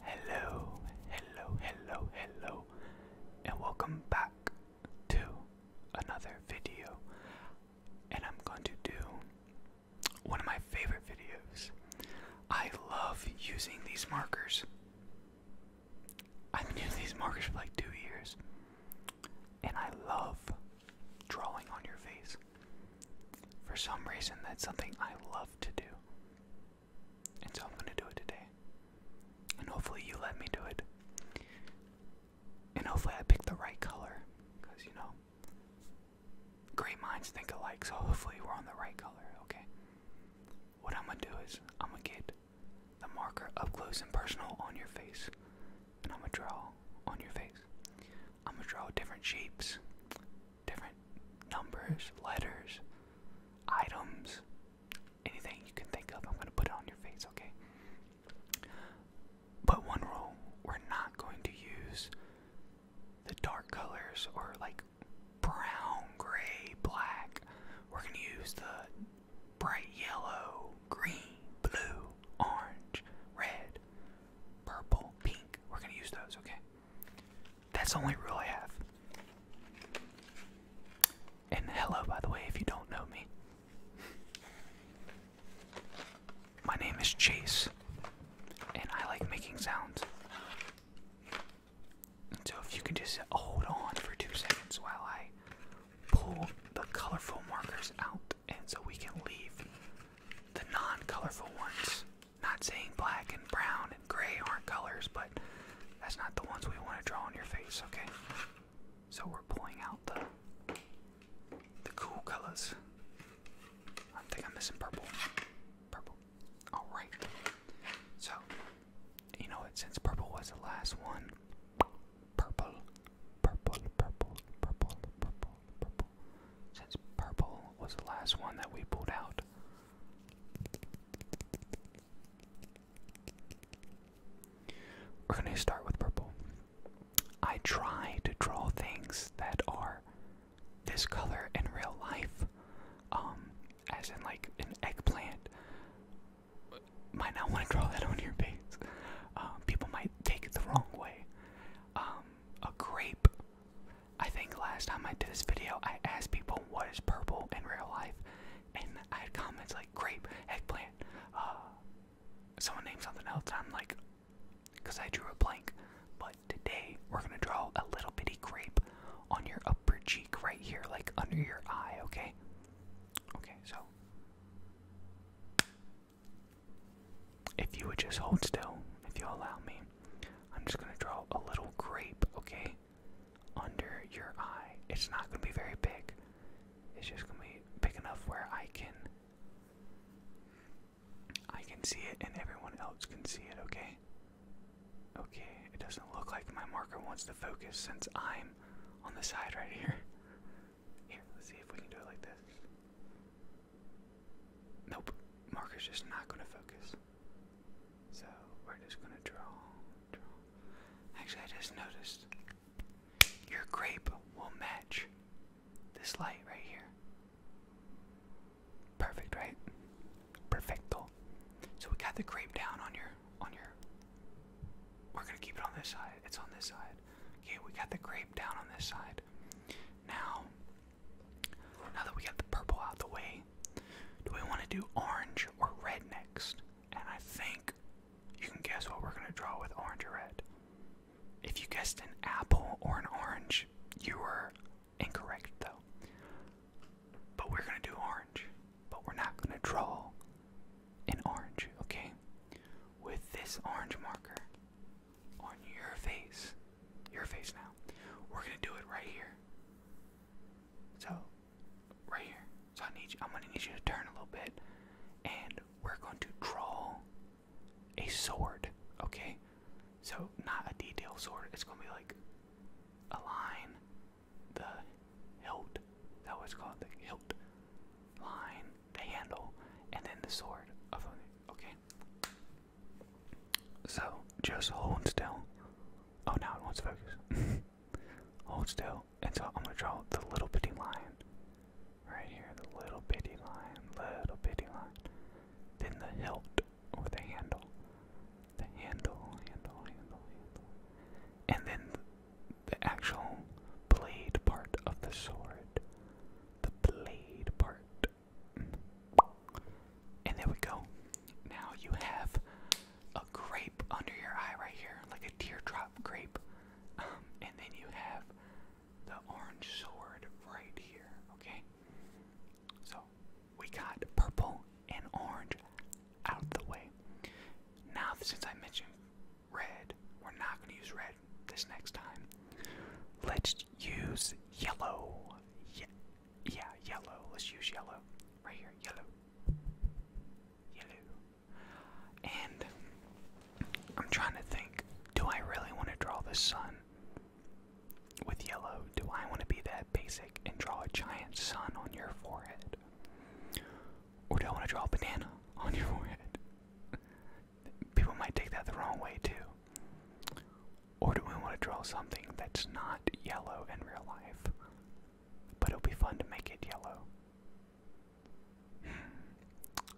Hello, hello, hello, hello, and welcome back to another video. And I'm going to do one of my favorite videos. I love using these markers. I've been using these markers for like two years, and I love drawing on your face. For some reason, that's something I love to do. And so I'm going to do it today. And hopefully you let me do it. And hopefully I picked the right color. Because, you know, great minds think alike. So hopefully we're on the right color, okay? What I'm going to do is I'm going to get the marker up close and personal on your face. And I'm going to draw on your face. I'm going to draw different shapes different numbers, letters, items, anything you can think of, I'm going to put it on your face, okay? But one rule, we're not going to use the dark colors or like brown, gray, black. We're going to use the bright yellow, green, blue, orange, red, purple, pink. We're going to use those, okay? That's the only rule I have. And hello, by the way, if you don't know me. My name is Chase, and I like making sounds. So if you can just hold on for two seconds while I pull the colorful markers out, and so we can leave the non colorful ones not saying black and brown and gray aren't colors, but that's not the ones we want to draw on your face, okay? So we're pulling out the the cool colors. I think I'm missing purple. Purple. Alright. So you know what, since purple was the last one, purple, purple, purple, purple, purple, purple, purple, since purple was the last one that we pulled out. We're going to start with purple. I try to draw things that are this color in real life, um, as in like an eggplant. Might not want to draw that on your face. Uh, people might take it the wrong way. Um, a grape. I think last time I did this video, I asked people what is purple in real life, and I had comments like grape, eggplant, uh, someone named something else, I'm like, because I drew a blank. But today, we're gonna draw a little bitty grape on your upper cheek right here, like under your eye, okay? Okay, so if you would just hold still, if you allow me, I'm just gonna draw a little grape, okay? Under your eye. It's not gonna be very big. It's just gonna be big enough where I can I can see it and everyone else can see it, okay? Okay, it doesn't look like my marker wants to focus since I'm on the side right here. Here, let's see if we can do it like this. Nope, marker's just not going to focus. So we're just going to draw, draw. Actually, I just noticed your grape will match this light right here. Perfect, right? Perfecto. So we got the grape down on your, on your. We're gonna keep it on this side. It's on this side. Okay, we got the grape down on this side. Now, now that we got the purple out the way, do we want to do orange or red next? And I think you can guess what we're going to draw with orange or red. If you guessed an apple or an orange, you were incorrect though. But we're going to do orange, but we're not going to draw an orange, okay? with this orange marker on your face, your face now, we're gonna do it right here. So, right here. So I need you. I'm gonna need you to turn a little bit, and we're going to draw a sword. Okay. So not a detailed sword. It's gonna be like a line, the hilt. That was called the hilt line, the handle, and then the sword of okay. So just hold still. Oh now it wants to focus. hold still. until I'm gonna draw the little bitty line. Right here, the little bitty line, little bitty line. Then the hilt or the handle. The handle, handle, handle, handle. And then the actual blade part of the sword. The blade part. Mm. And there we go. Now you have a grape under your eye right here, like a teardrop grape. Um, and then you have the orange sword right here, okay? So we got purple and orange out the way. Now, since I mentioned red. We're not going to use red this next time. Let's use yellow. Yeah, yeah, yellow. Let's use yellow. Right here, yellow. Yellow. And I'm trying to think do I really want to draw the sun with yellow? Do I want to be that basic and draw a giant sun on your forehead? Or do I want to draw a banana on your forehead? People might take that the wrong way too. Or do we want to draw something that's not yellow in real life? But it'll be fun to make it yellow. Hmm.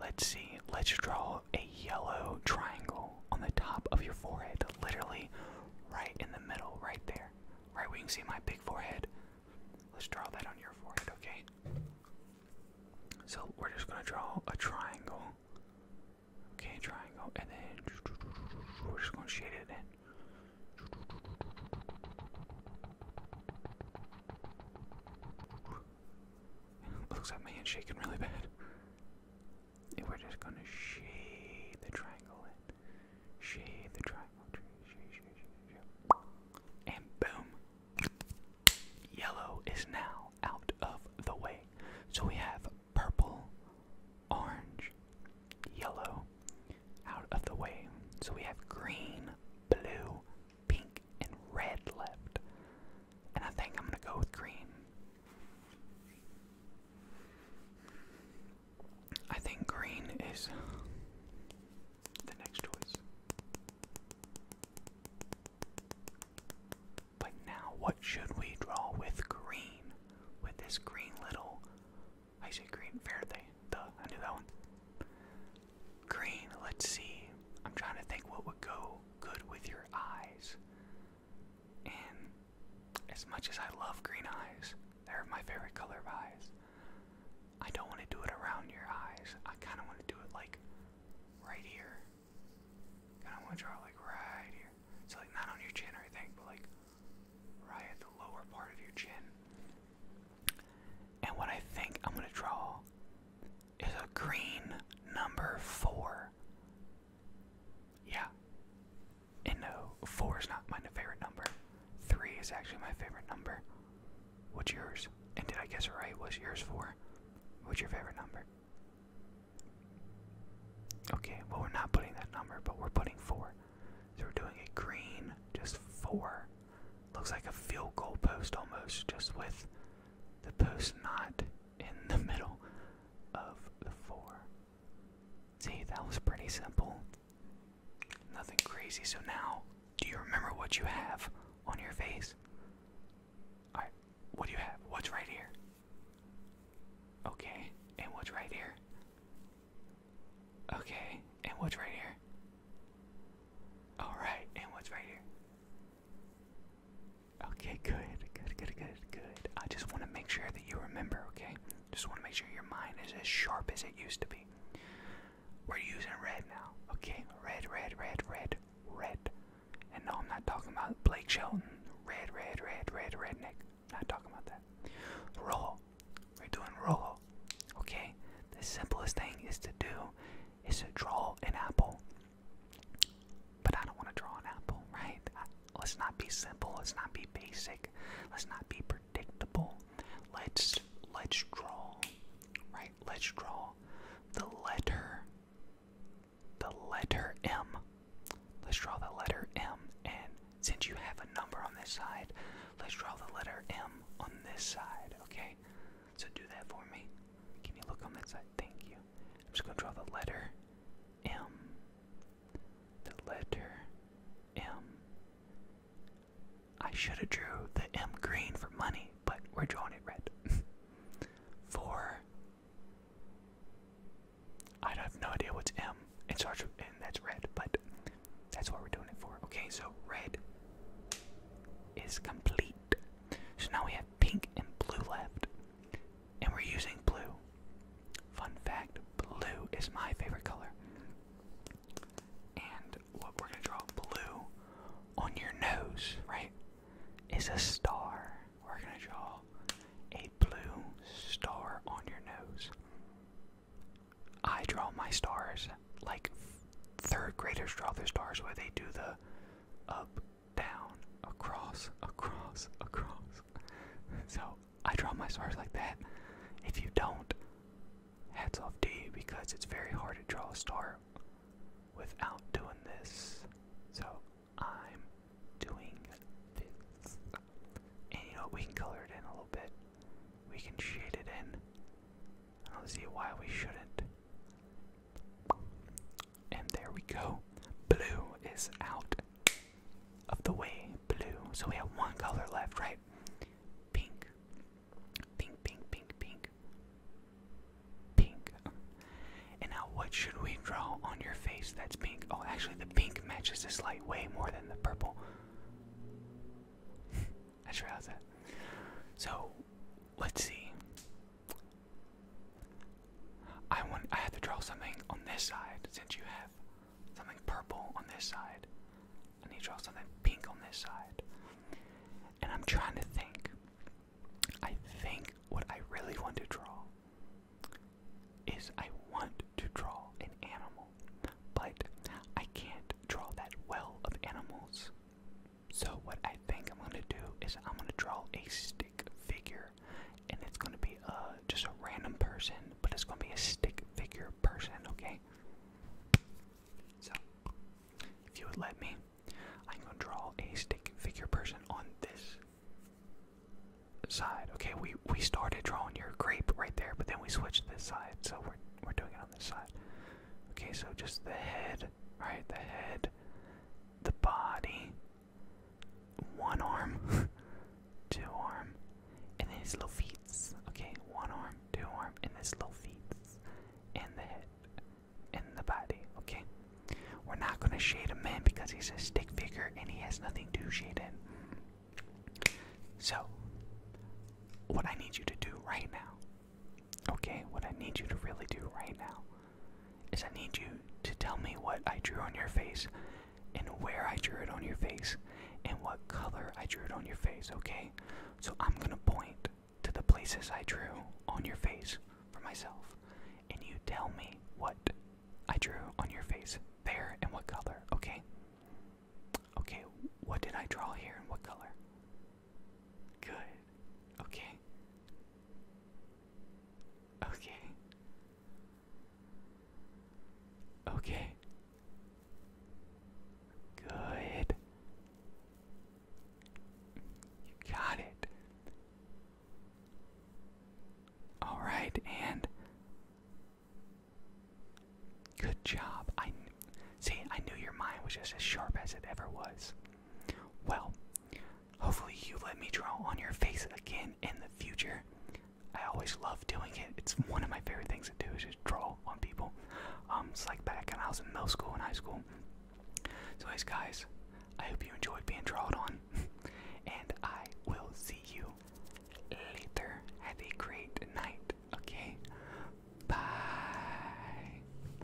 Let's see. Let's draw a yellow triangle on the top of your forehead, literally right in the middle, right there. Right where you can see my big forehead. Let's draw that on your forehead, okay? So we're just gonna draw a triangle. Okay, triangle, and then we're just gonna shade it in. looks like my hand's shaking really bad. And we're just gonna shade the triangle in. Shade the triangle And boom. Yellow is now out of the way. So we have purple, orange, yellow out of the way. So we have green, blue, pink, and red left. And I think I'm going to go with green. I think green is the next choice. But now, what should we draw with green? With this green little, I say green, Faraday, duh, I knew that one. Green, let's see. I'm trying to think what would go good with your eyes. And as much as I love green eyes, they're my favorite color of eyes. I don't want to do it around your eyes. I kind of want to do it like right here. Kind of want to draw like right here. So like not on your chin or anything, but like right at the lower part of your chin. And what I think I'm going to draw is a green number four. Yeah, and no, four is not my favorite number. Three is actually my favorite number. What's yours? And did I guess right? What's yours four? What's your favorite number? Okay, well, we're not putting that number, but we're putting four. So we're doing a green, just four. Looks like a field goal post almost, just with the post not in the middle of the four. See, that was pretty simple. Nothing crazy. So now, do you remember what you have on your face? Alright, what do you have? What's right here? Okay, and what's right here? Okay, and what's right here? Alright, and what's right here? Okay, good, good, good, good, good. I just want to make sure that you remember, okay? Just want to make sure your mind is as sharp as it used to be. We're using red now, okay? Red, red, red, red, red. And no, I'm not talking about Blake Shelton. Red, red, red, red, redneck. Not talking about that. Roll. We're doing roll. Okay? The simplest thing is to do is to draw an apple. But I don't want to draw an apple, right? I, let's not be simple. Let's not be basic let's not be predictable. Let's let's draw, right? Let's draw the letter, the letter M. Let's draw the letter M, and since you have a number on this side, let's draw the letter M on this side. Okay, so do that for me. Can you look on that side? Thank you. I'm just gonna draw the letter M. The letter M. I should have drew the M green for money, but we're drawing it red. for I have no idea what's M. It starts with, and that's red, but that's what we're doing it for. Okay, so red is complete. So now we have pink and blue left, and we're using blue Fun fact, blue is my favorite color. And what we're gonna draw blue on your nose, right, is a star. We're gonna draw a blue star on your nose. I draw my stars like third graders draw their stars where they do the up down, across, across, across. So I draw my stars like that. If you don't, heads off to because it's very hard to draw a star without doing this. So I'm doing this. And you know, we can color it in a little bit, we can shade it in. I don't see why we shouldn't. And there we go. Blue is out of the way. Blue. So we have one color left, right? Pink. Pink, pink, pink, pink. Pink. And now what should we draw on your face that's pink? Oh, actually, the pink matches this light way more than the purple. I just realized that. So, let's see. I want I have to draw something on this side since you have something purple on this side. I need to draw something pink on this side. And I'm trying to think. I think what I really want to draw is I want to draw an animal, but I can't draw that well of animals. So what I think I'm going to do is I'm going to draw a stick figure, and it's going to be a uh, just a random person, but it's going to be a stick figure person, okay? So, if you would let me, I'm going to draw a stick figure person on this side. Okay, we, we started drawing your grape right there, but then we switched this side, so we're, we're doing it on this side. Okay, so just the head, right? The head, the body, one arm, two arm, and then his little feet. Okay, one arm, two arm, and his little feet, and the head, and the body. Okay, we're not gonna shade a man because he's a stick figure and he has nothing to shade in. So, what I need you to do right now, okay, what I need you to really do right now is I need you to tell me what I drew on your face and where I drew it on your face and what color I drew it on your face, okay? So I'm gonna point to the places I drew on your face for myself and you tell me what I drew on your face there and what color, okay? Okay, what did I draw here and what color? Good. Okay. Okay. Okay. Good. You got it. All right, and good job. I see. I knew your mind was just as sharp as it ever was. Well, Hopefully, you let me draw on your face again in the future. I always love doing it. It's one of my favorite things to do is just draw on people. Um, it's like back when I was in middle school and high school. So, anyways, guys, I hope you enjoyed being drawn on, and I will see you later. Have a great night. Okay, bye.